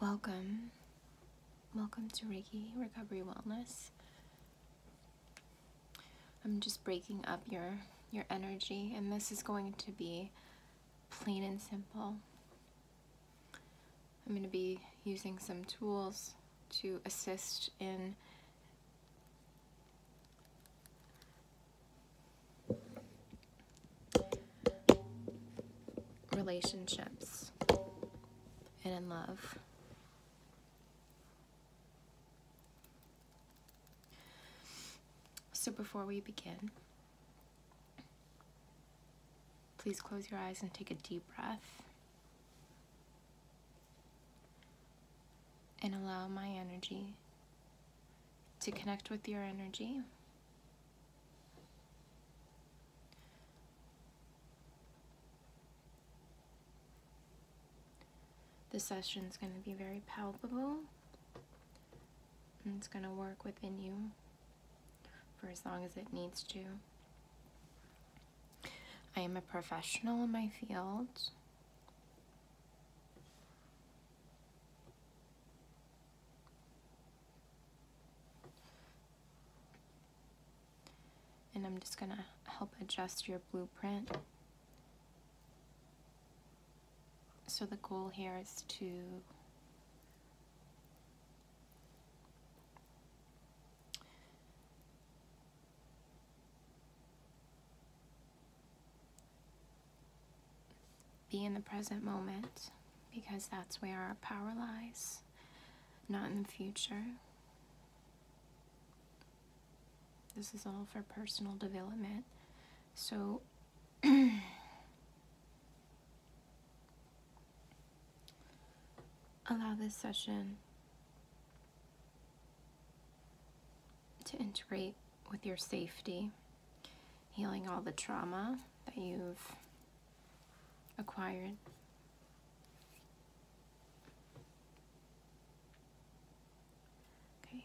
Welcome. Welcome to Reiki Recovery Wellness. I'm just breaking up your your energy and this is going to be plain and simple. I'm going to be using some tools to assist in relationships and in love. So before we begin, please close your eyes and take a deep breath and allow my energy to connect with your energy. The session is going to be very palpable and it's going to work within you for as long as it needs to. I am a professional in my field. And I'm just gonna help adjust your blueprint. So the goal here is to be in the present moment because that's where our power lies, not in the future. This is all for personal development. So, allow this session to integrate with your safety, healing all the trauma that you've acquired. Okay.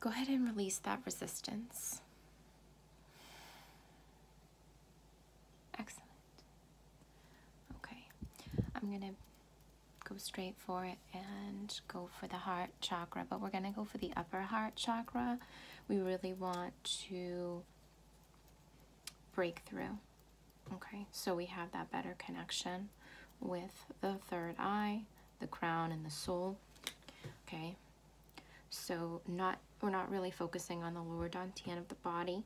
Go ahead and release that resistance. Excellent. Okay, I'm gonna go straight for it and go for the heart chakra, but we're gonna go for the upper heart chakra. We really want to break through. Okay, so we have that better connection with the third eye, the crown, and the soul. Okay, so not we're not really focusing on the lower dantian of the body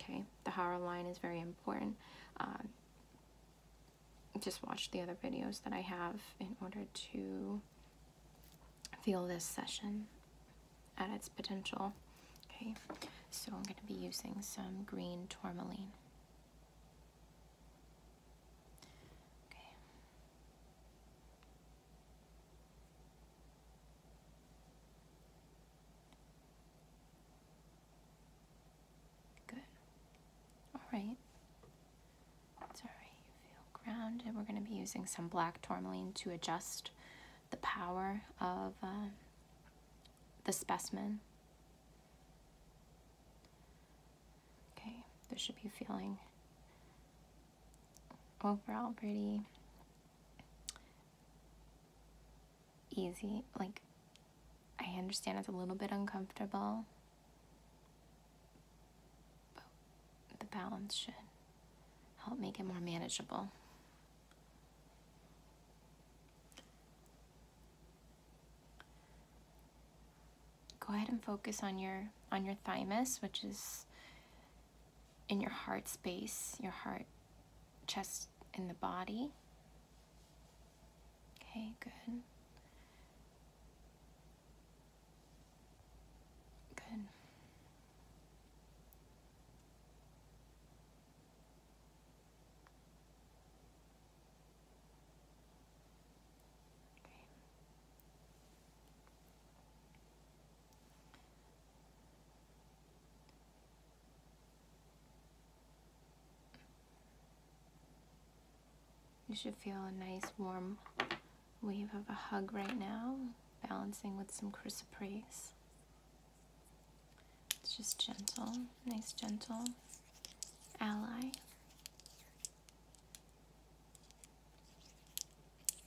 Okay, the Hara line is very important. Um, just watch the other videos that I have in order to feel this session at its potential. Okay, so I'm going to be using some green tourmaline. Okay. Good. All right. It's all right. You feel We're going to be using some black tourmaline to adjust the power of um, the specimen. Okay, this should be feeling overall pretty easy. Like, I understand it's a little bit uncomfortable, but the balance should help make it more manageable. Go ahead and focus on your on your thymus, which is in your heart space, your heart chest and the body. Okay, good. Good. Okay. You should feel a nice warm wave of a hug right now, balancing with some chrysoprase. It's just gentle, nice gentle ally.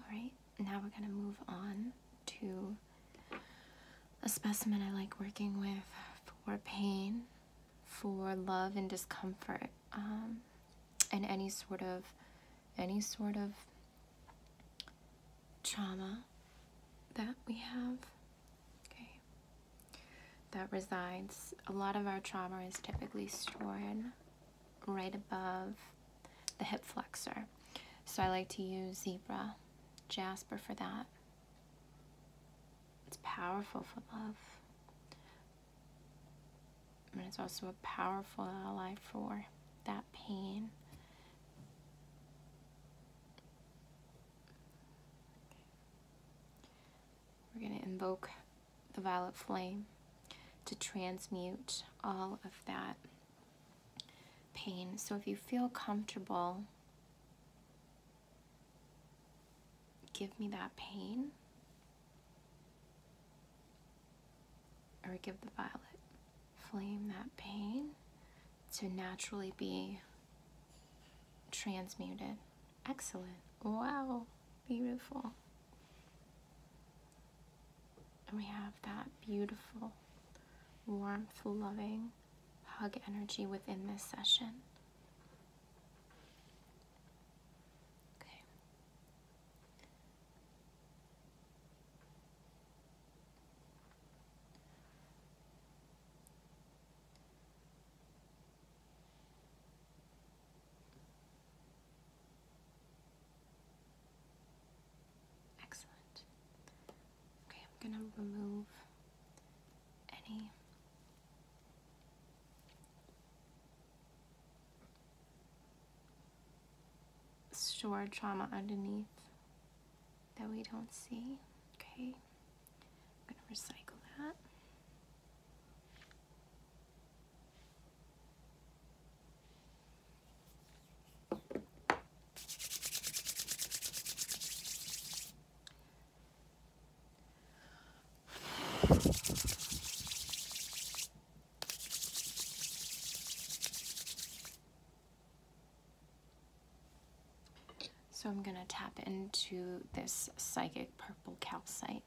Alright, now we're going to move on to a specimen I like working with for pain, for love and discomfort, um, and any sort of any sort of trauma that we have. Okay that resides. A lot of our trauma is typically stored right above the hip flexor. So I like to use zebra, jasper for that. It's powerful for love. And it's also a powerful ally for that pain. We're going to invoke the violet flame to transmute all of that pain. So if you feel comfortable, give me that pain or give the violet flame that pain to naturally be transmuted. Excellent. Wow. Beautiful. And we have that beautiful, warmth, loving hug energy within this session. Okay. Excellent. Okay, I'm going to remove any stored trauma underneath that we don't see. Okay, I'm going to recycle that. So I'm going to tap into this psychic purple calcite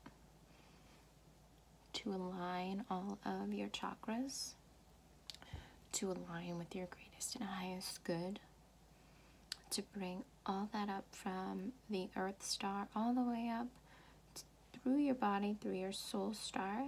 to align all of your chakras, to align with your greatest and highest good, to bring all that up from the earth star all the way up through your body, through your soul star.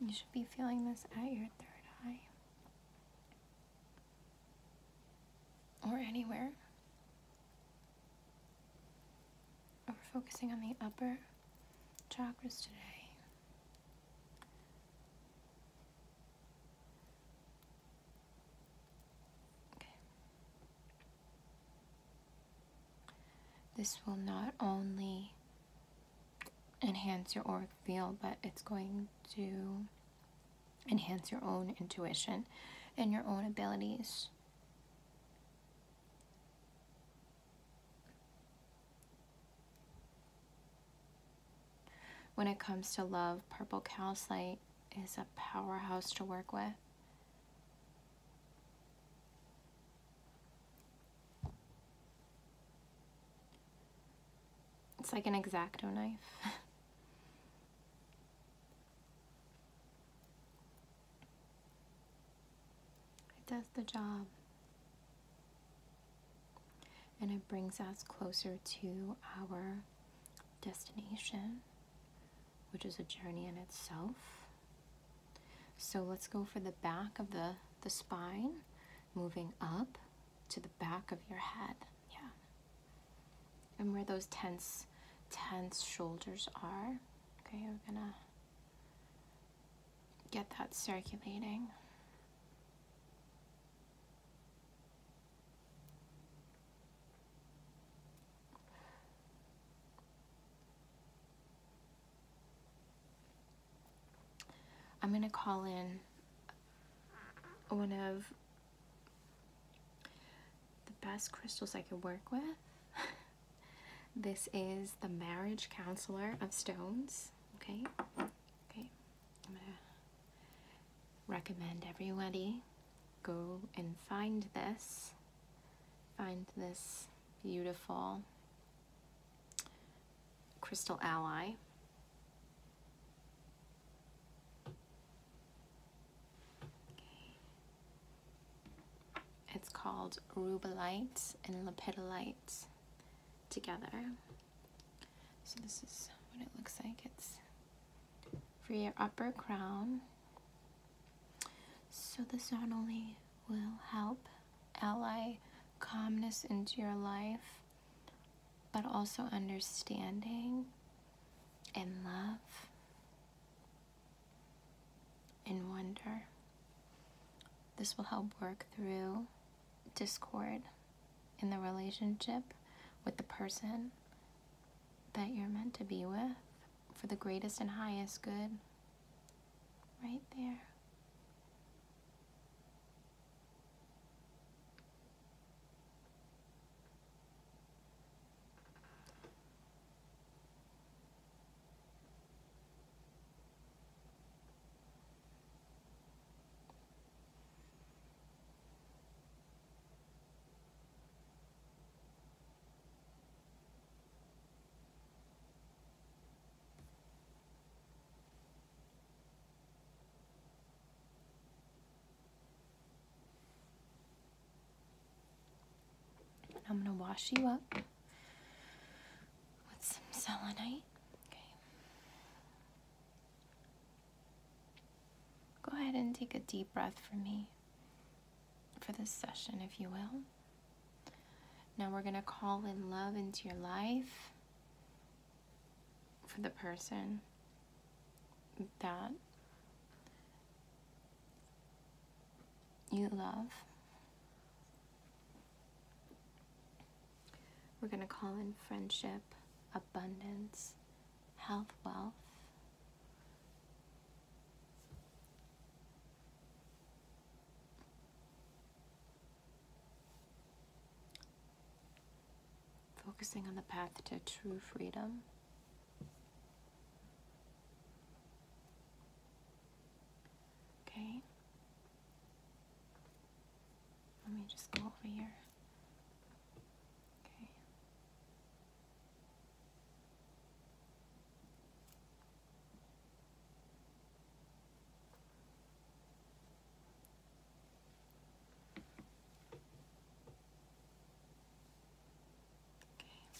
You should be feeling this at your third eye. Or anywhere. We're focusing on the upper chakras today. This will not only enhance your auric field, but it's going to enhance your own intuition and your own abilities. When it comes to love, purple calcite is a powerhouse to work with. It's like an exacto knife. it does the job and it brings us closer to our destination, which is a journey in itself. So let's go for the back of the, the spine, moving up to the back of your head. Yeah. And where those tense, tense shoulders are. Okay, we're gonna get that circulating. I'm going to call in one of the best crystals I could work with. this is the Marriage Counselor of Stones. Okay? Okay. I'm gonna recommend everybody go and find this. Find this beautiful crystal ally. It's called rubellite and lepidolite together. So this is what it looks like. It's for your upper crown. So this not only will help ally calmness into your life, but also understanding and love and wonder. This will help work through discord in the relationship with the person that you're meant to be with for the greatest and highest good. Right there. I'm going to wash you up with some selenite. Okay. Go ahead and take a deep breath for me for this session, if you will. Now we're going to call in love into your life for the person that you love. We're going to call in friendship, abundance, health, wealth. Focusing on the path to true freedom. Okay. Let me just go over here. Okay. Okay.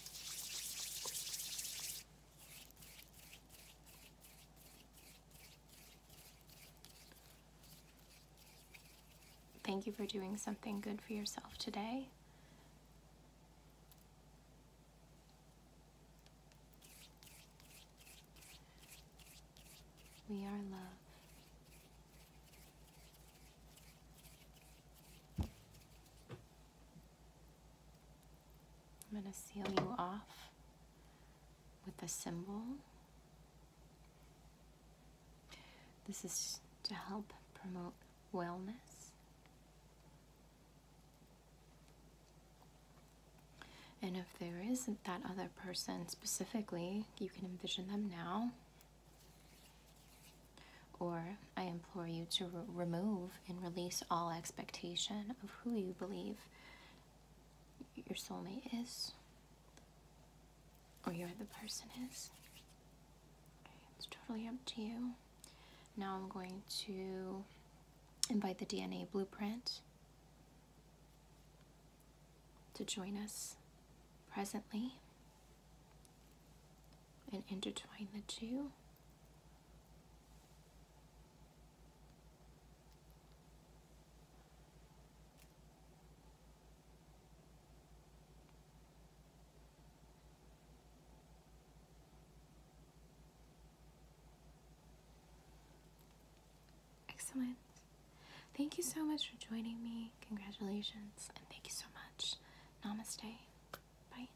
Thank you for doing something good for yourself today. We are love. I'm going to seal you off with a symbol. This is to help promote wellness. And if there isn't that other person specifically, you can envision them now. Or I implore you to remove and release all expectation of who you believe your soulmate is, or your other person is. it's totally up to you. Now I'm going to invite the DNA Blueprint to join us presently and intertwine the two Excellent. Thank you so much for joining me. Congratulations, and thank you so much. Namaste. Bye.